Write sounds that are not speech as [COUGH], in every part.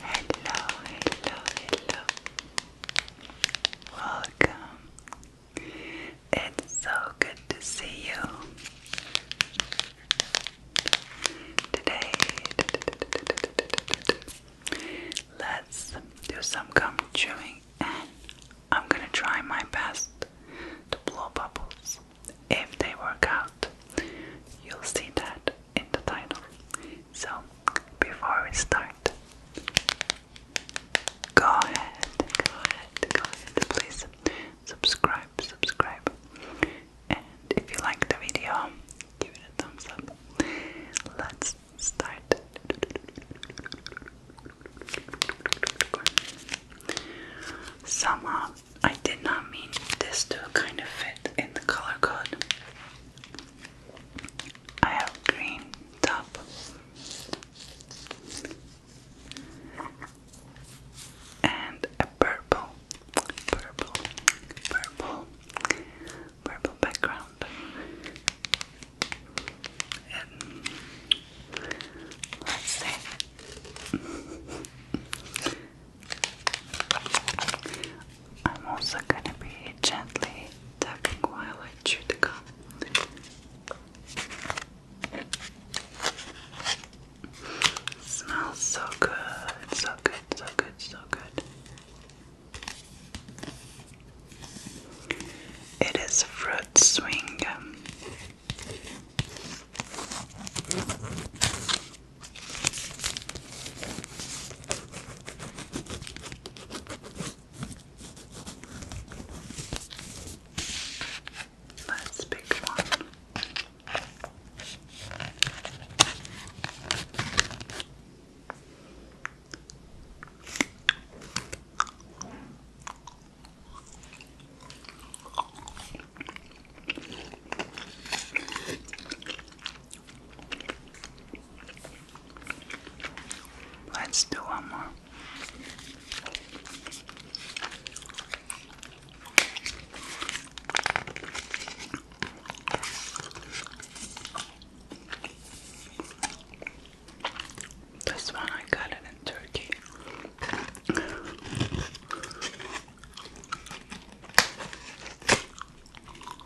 Hello, hello, hello. Welcome. It's so good to see you. Today, let's do some gum chewing and I'm gonna try my best to blow bubbles. If they work out, you'll see that in the title. So, before we start, go ahead, go ahead, go ahead, please subscribe, subscribe. And if you like the video, give it a thumbs up. Let's start. Somehow, I did not mean this to kind of fit in the color code. I have green top. And a purple, purple, purple, purple background. let's see. I'm also going to be gently tapping while I chew the gum. smells so good, so good, so good, so good. It is fruit swing Let's pick one. Let's do one more. This one I got it in Turkey.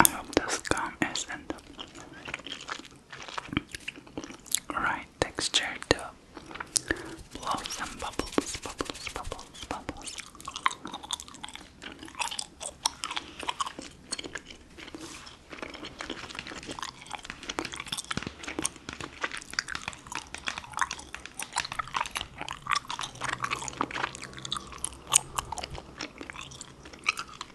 I hope this gum isn't right texture to some bubbles, bubbles, bubbles, bubbles.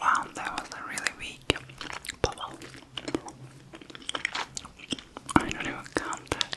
Wow, that was a really weak bubble. I don't even count that.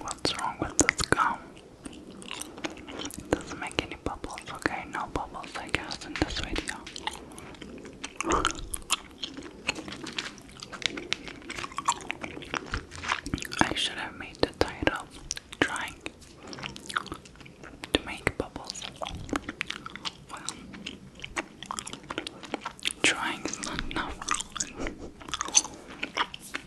What's wrong with this gum? It doesn't make any bubbles, okay? No bubbles, I guess, in this video. I should have made the title trying to make bubbles. trying is not enough.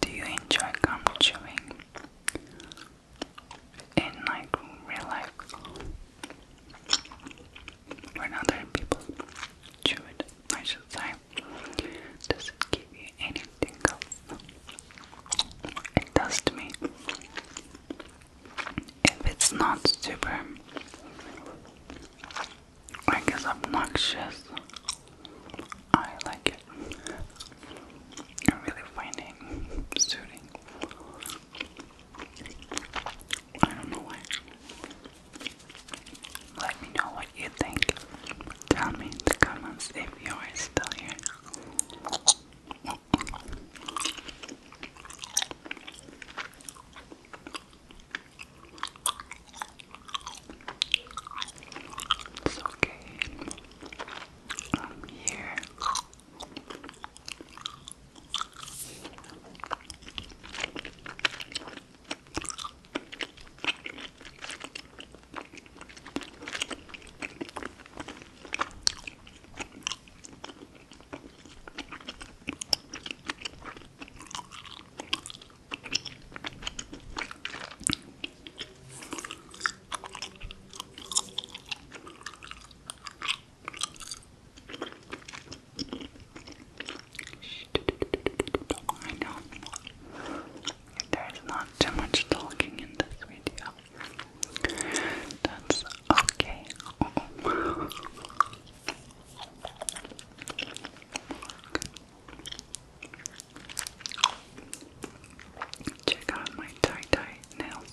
Do you enjoy gum chewing? In like real life, when other people chew it, I should say, does it give you anything It does to me if it's not super I guess obnoxious. I like it. I really find it soothing. I don't know why. Let me know what you think. Tell me in the comments if you are still here. It's okay. I'm here. I know there's not too much talking in this video. That's okay. [LAUGHS] Oh. Check out my tie dye nails.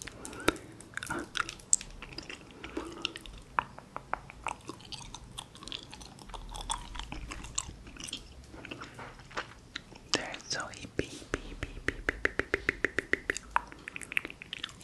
They're so hippie, hippie, hippie, hippie, hippie, hippie, hippie, hippie, hippie.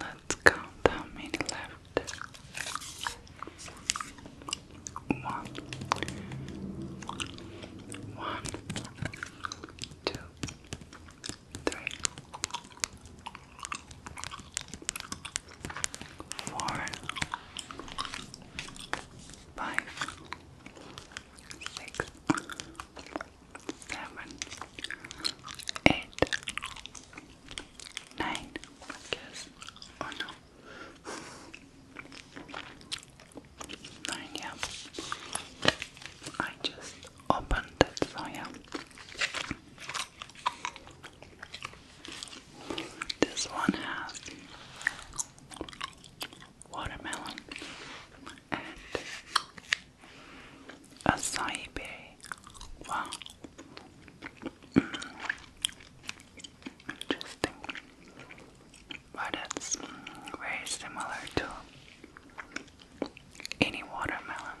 Let's count how many left. One, one, two, three, four, five, six, seven, eight, nine, I guess. Oh, no. Nine, yeah. I just opened it, so yeah. This one has watermelon and acai Wow. Interesting. But it's very similar to any watermelon.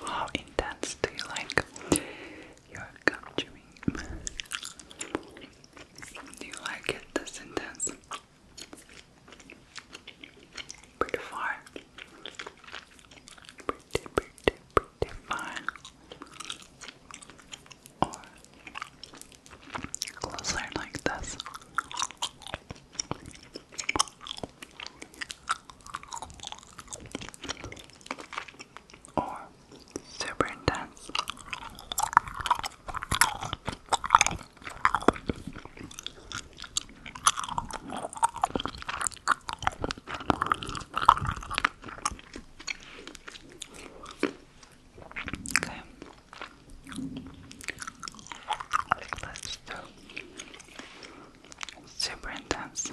How intense do you like your gum chewing? Do you like it this intense? Pretty far. Pretty, pretty, pretty far. Or closer like this or super intense. Okay. Let's do super intense.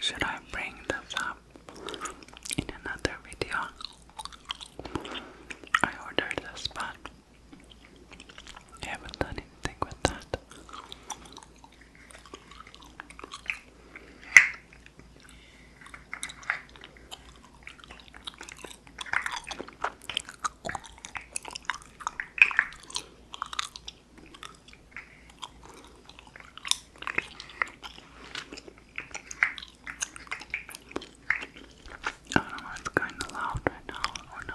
Should I bring this up in another video? I ordered this, but I haven't done anything with that. I don't know, it's kind of loud right now, or oh, no?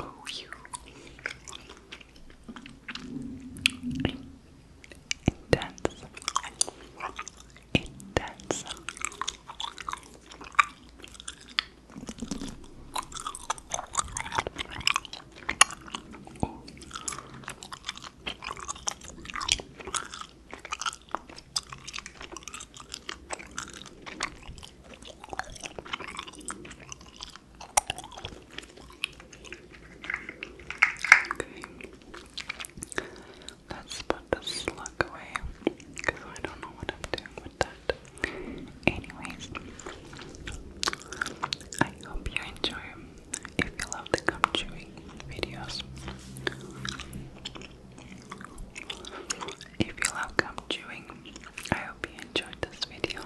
Oh, you. Intense. Intense. Okay. Let's put the slug away because I don't know what I'm doing about Anyways, I hope you enjoy. If you love the gum chewing videos, if you love gum chewing, I hope you enjoyed this video.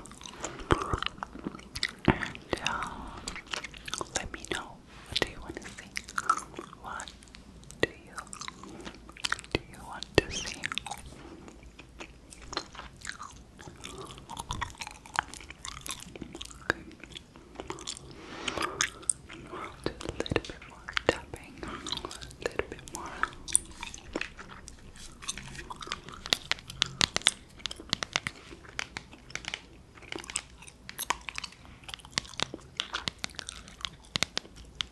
And uh, let me know what do you want to see. What do you do you want to see? Just a little bit more tapping, a little bit more. Okay.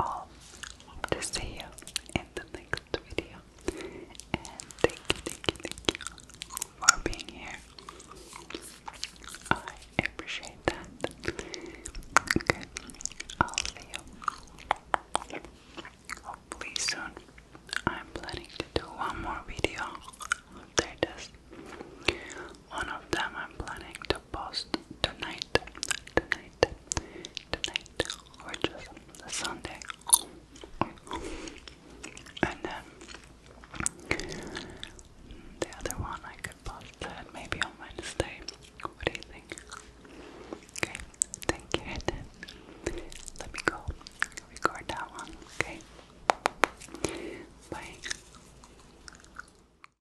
all hope see you in the next video and thank you thank you thank you for being here I appreciate that okay I'll see you hopefully soon I'm planning to do one more video after this one of them I'm planning to to post tonight, tonight, tonight, or just Sunday. And then the other one I could post that maybe on Wednesday. What do you think? Okay, thank you. Let me go record that one, okay? Bye.